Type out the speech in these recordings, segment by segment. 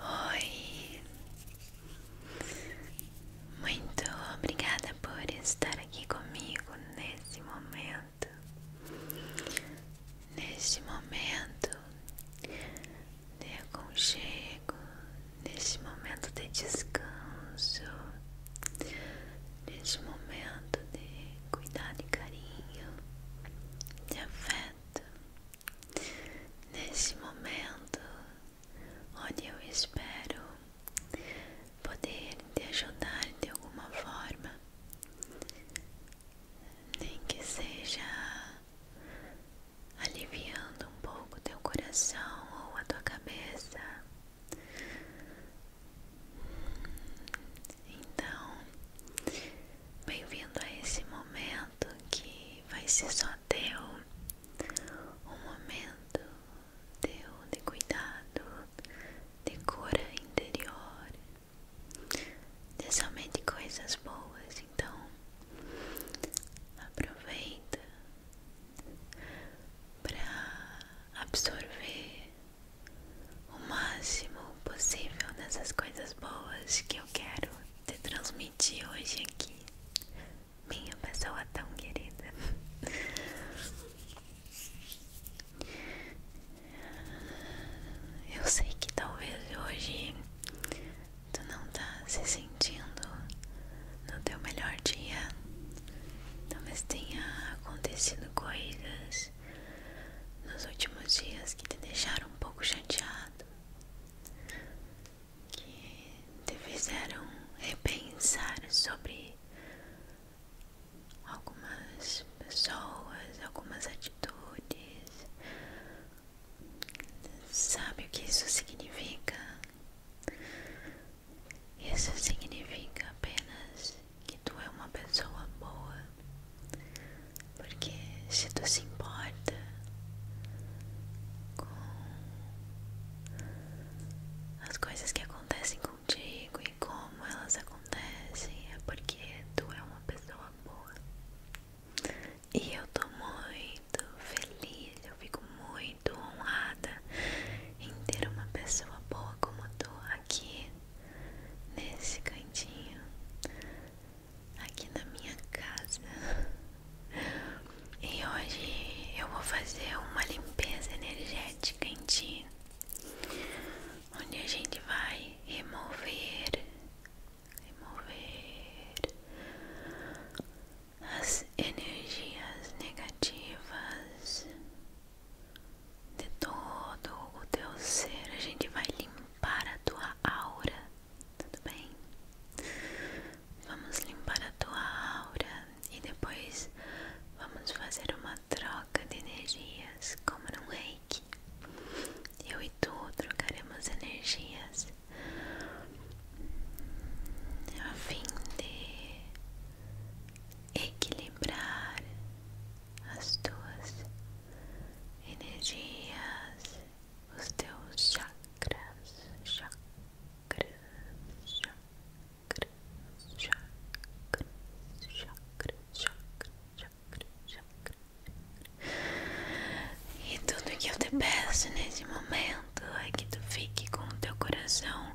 Oi, muito obrigada por estar aqui comigo nesse momento. Neste momento de aconchego, neste momento de descanso, neste momento de cuidado e carinho, de afeto neste momento onde eu espero poder te ajudar de alguma forma, nem que seja aliviando um pouco teu coração ou a tua cabeça. Então, bem-vindo a esse momento que vai ser só teu, um momento teu de cuidado, de cura interior, de somente coisas boas. Então, aproveita para absorver o máximo possível dessas coisas boas que eu quero te transmitir hoje aqui, minha pessoa tão querida. Eu sei que talvez hoje tu não tá se sentindo no teu melhor dia, talvez tenha acontecido coisas nos últimos dias que te deixaram um pouco chateado, que te fizeram repensar sobre algumas pessoas, algumas atitudes. Sabe o que isso significa? Isso significa apenas que tu é uma pessoa boa, porque se tu se importa com as coisas que acontecem contigo e como elas acontecem, é porque tu é uma pessoa boa. E eu tô muito feliz, eu fico muito honrada em ter uma pessoa boa como tu aqui nesse cantinho aqui na minha casa. E hoje eu vou fazer uma limpeza energética em ti, onde a gente vai remover, remover as energias negativas de todo o teu ser, a gente vai limpar a tua aura, tudo bem? Vamos limpar a tua aura e depois vamos fazer uma troca de energias, como num reiki. Eu e tu trocaremos energias a fim de equilibrar as tuas energias, os teus chakras, chakras, chakras, chakras, chakras, chakras, chakras, chakras. E tudo que eu te peço nesse momento é que tu fique com o teu coração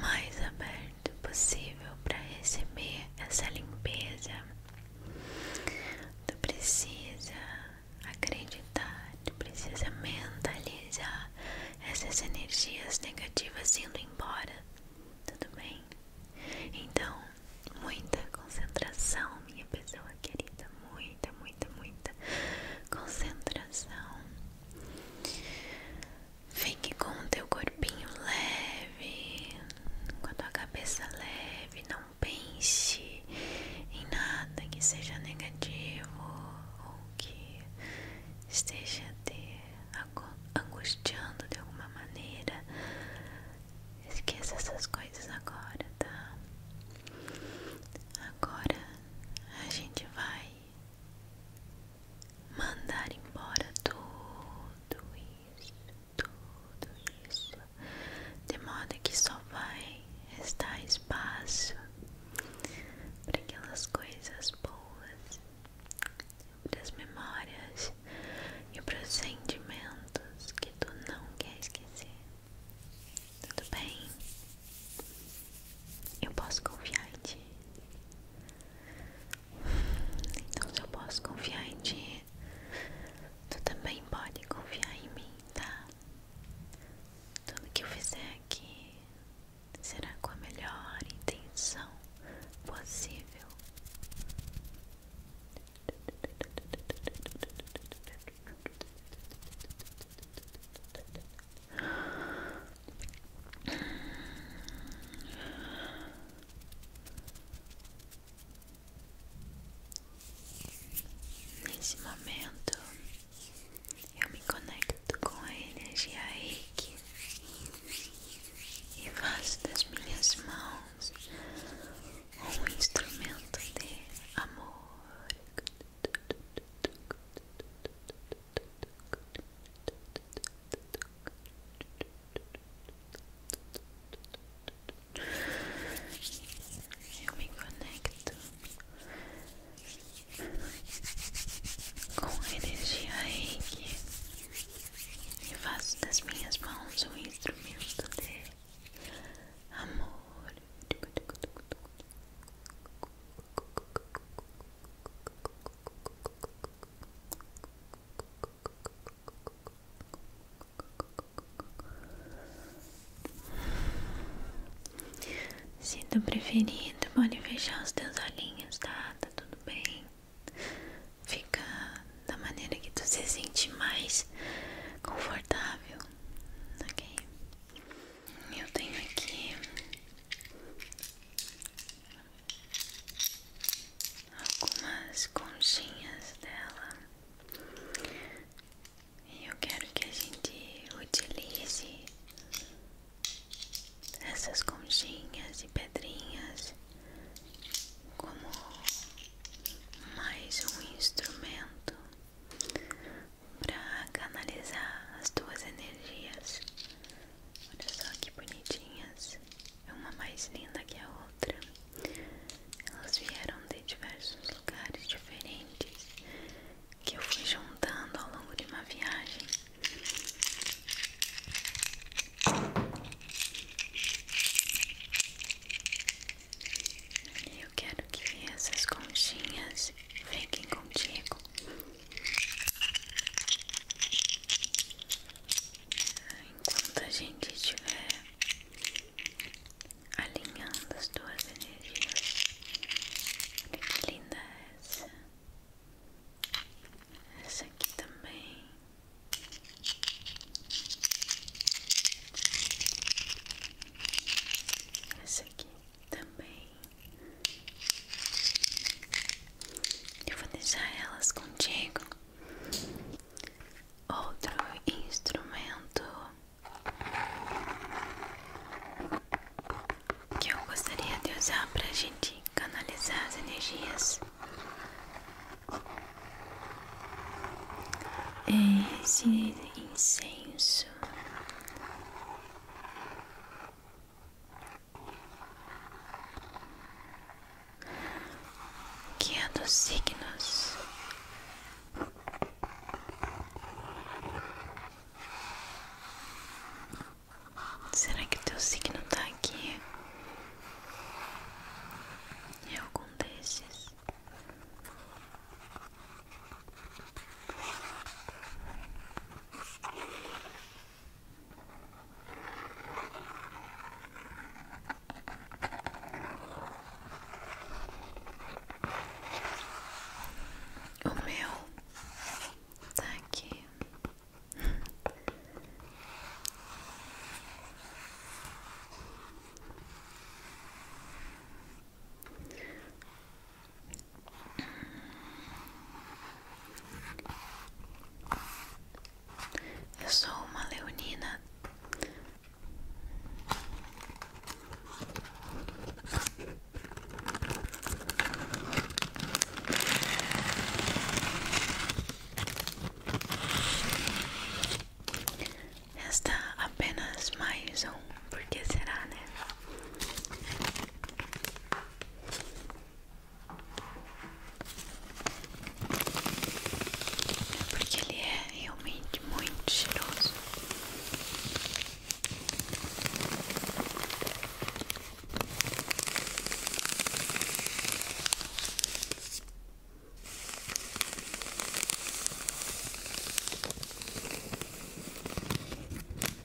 mais aberto perto possível para receber essa limpeza. Tu precisa acreditar, tu precisa mentalizar essas energias negativas indo embora, tudo bem? Então, muita concentração, minha pessoa querida, muita, muita, muita concentração. Fique com o teu corpinho leve, com a tua cabeça leve, não pense em nada que seja negativo ou que esteja te angustiando de alguma maneira. Esqueça essas coisas agora, tá? Agora a gente vai mandar embora tudo tudo isso, de modo que só vai restar espaço para aquelas coisas boas, para as memórias e para os sentimentos que tu não quer esquecer. Tudo bem? Eu posso confiar em ti. Então se eu posso confiar em ti, tu também pode confiar em mim, tá? Tudo que eu fizer aqui será com a melhor intenção possível. Nesse momento eu me conecto com a energia e faço das minhas mãos um instrumento de amor. Eu me conecto com a energia reiki e faço das minhas mãos um instrumento de amor. Se do preferido, pode fechar os teus olhinhos, tá? Tá tudo bem. Fica da maneira que tu se sente mais confortável, ok? Eu tenho aqui algumas conchinhas dela e eu quero que a gente utilize essas conchinhas e pedrinhas como mais um instrumento para canalizar as tuas energias Olha só que bonitinhas. É uma mais linda que a outra. Elas vieram de diversos lugares diferentes que eu fui juntando ao longo de uma viagem. Eu quero que essas conchinhas fiquem contigo. Enquanto a gente estiver alinhando as duas energias, que linda é essa, essa aqui também. Essa aqui também. Eu vou deixar elas contigo. Outro instrumento que eu gostaria de usar para a gente canalizar as energias é esse incenso que é dos signos será que teu signo tá aqui? é algum desses? O meu tá aqui. Eu sou uma leonina. Esta é apenas mais um, porque será, né? Porque ele é realmente muito cheiroso.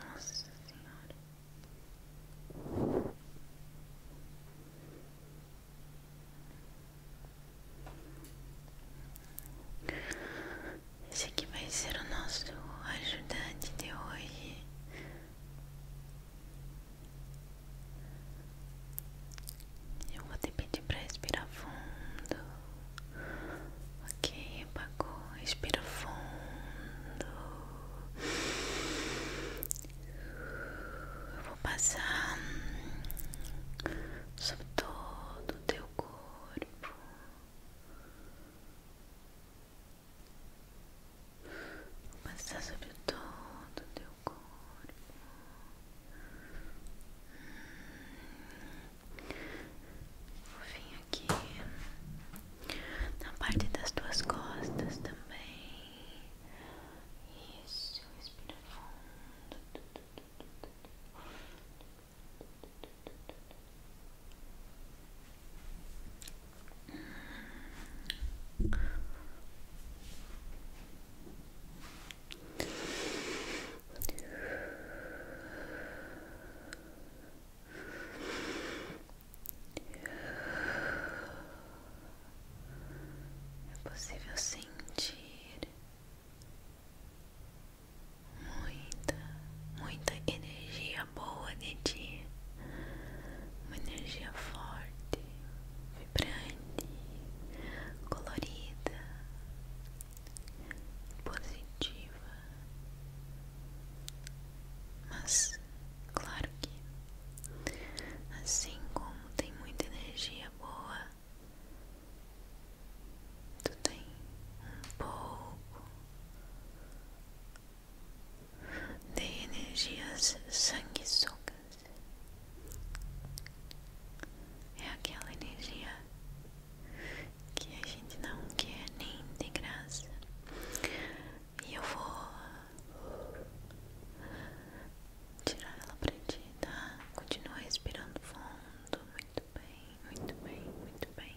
Nossa Senhora. Esse aqui vai ser o nosso ajudante de hoje. Eu vou te pedir para respirar fundo. Ok, apagou. Respira fundo. vou passar sobre todo teu corpo. Vou passar sobre todo teu corpo. Vou vir aqui na parte das tuas costas também. Isso, respira fundo. É possível sentir muita, muita energia boa de ti, uma energia forte, vibrante, colorida, positiva, mas claro que assim como tem muita energia boa, tu tem um pouco de energias sanguessugas é aquela energia que a gente não quer nem de graça. E eu vou tirar ela pra ti, tá? Continua respirando fundo. Muito bem, muito bem, muito bem.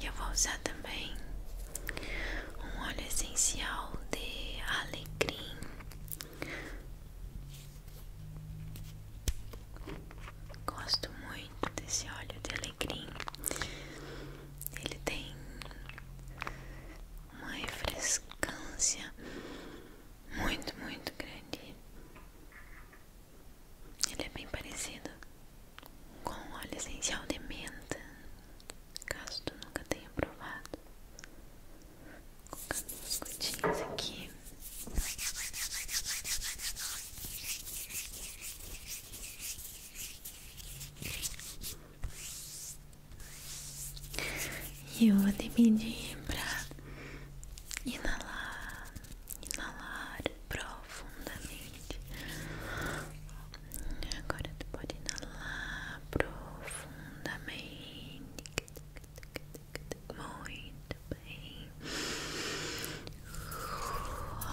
E Eu vou usar também um óleo essencial de alecrim. Gosto muito desse óleo de alecrim. Ele tem uma refrescância muito, muito grande. Ele é bem parecido com óleo essencial de menta, caso tu nunca tenha provado. Colocando umas gotinhas aqui. E eu vou te pedir pra inalar, inalar, pro profundamente. Agora tu pode lá profundamente. Muito bem.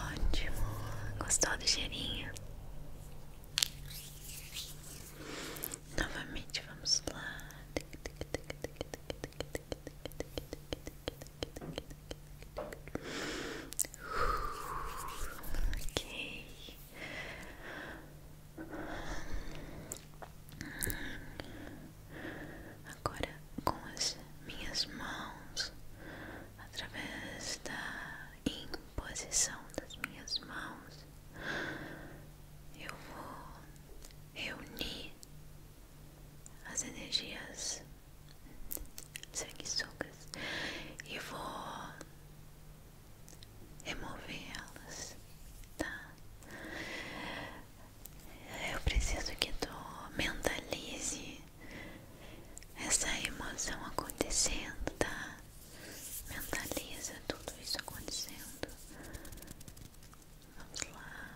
Ótimo. Gostou do cheirinho? Novamente vamos lá. Ok. Agora com as minhas mãos, através da imposição das minhas mãos, eu vou reunir as energias sanguessugas e vou remover elas, tá? Eu preciso que tu mentalize essa emoção acontecendo, tá? Mentaliza tudo isso acontecendo. Vamos lá.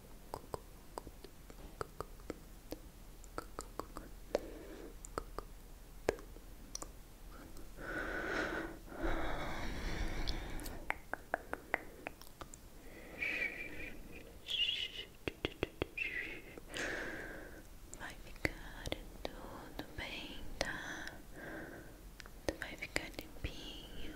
Vai ficar tudo bem, tá? Tu vai ficar limpinho.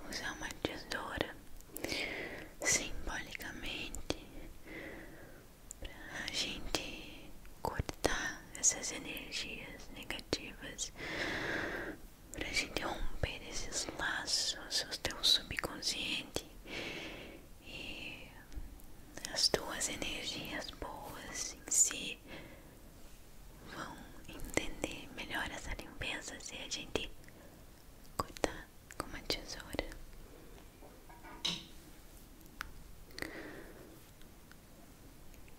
Vou usar uma tesoura simbolicamente para a gente cortar essas energias negativas, pra gente romper esses laços, o teu subconsciente e as tuas energias boas em si vão entender melhor essa limpeza se a gente cortar com uma tesoura.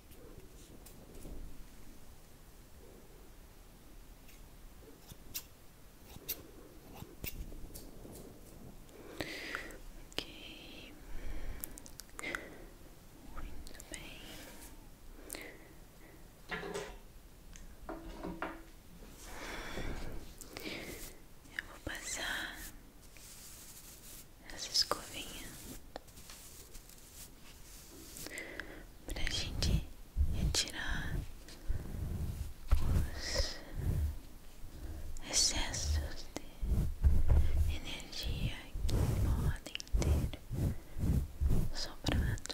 Ok, muito bem. Eu vou passar essa escovinha pra gente retirar os excessos de energia que podem ter sobrado.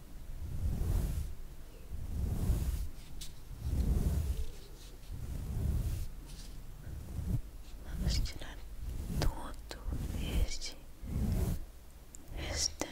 Vamos tirar todo este restante.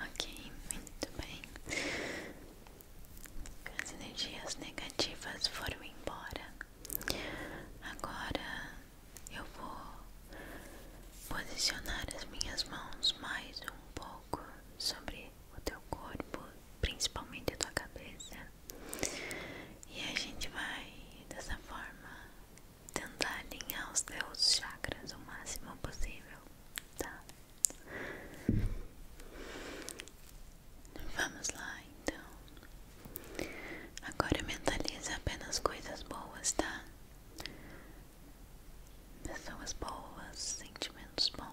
Ok, muito bem. As energias negativas foram embora. Agora eu vou posicionar as minhas mãos mais um pouco sobre o teu corpo, principalmente a tua cabeça. E a gente vai dessa forma tentar alinhar os teus chakras o máximo possível tá? Vamos lá, então. Agora mentaliza apenas coisas boas, tá? Pessoas boas, sentimentos bons.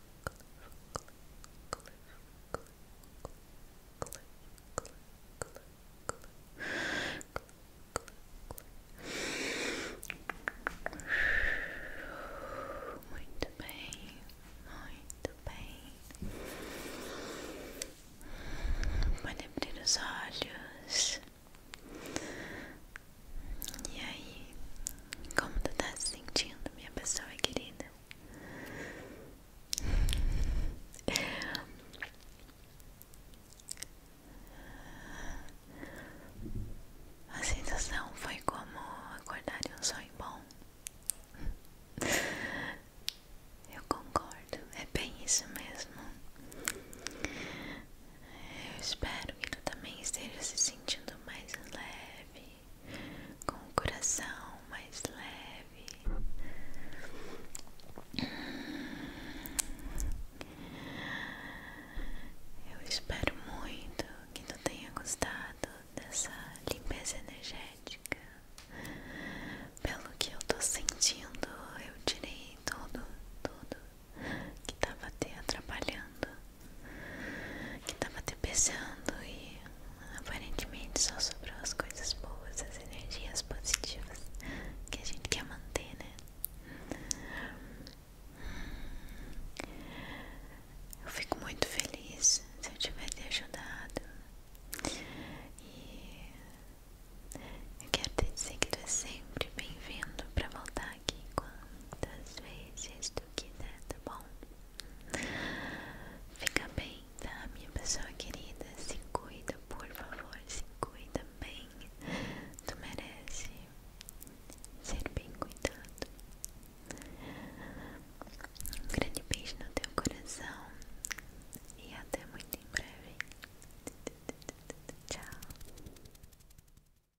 Muito bem, muito bem. Pode abrir os olhos. E aí, como tu tá se sentindo, minha pessoa querida? A sensação foi como acordar de um sonho bom. Eu concordo, é bem isso mesmo. Eu espero que tu também esteja se sentindo mais leve, com o coração mais leve. Eu espero muito que tu tenha gostado dessa limpeza energética. Pelo que eu tô sentindo, eu tirei tudo, tudo, que tava te atrapalhando, que tava te pesando e aparentemente só sobrou as coisas boas, as energias positivas que a gente quer manter, né? Eu fico muito feliz se eu tiver te ajudado e eu quero te dizer que tu é sempre bem-vindo para voltar quantas vezes tu quiser, tá bom? Fica bem, tá? Minha pessoa querida, se cuida, por favor, se cuida bem. Tu merece ser bem cuidado. Um grande beijo no teu coração e até muito em breve. Tchau.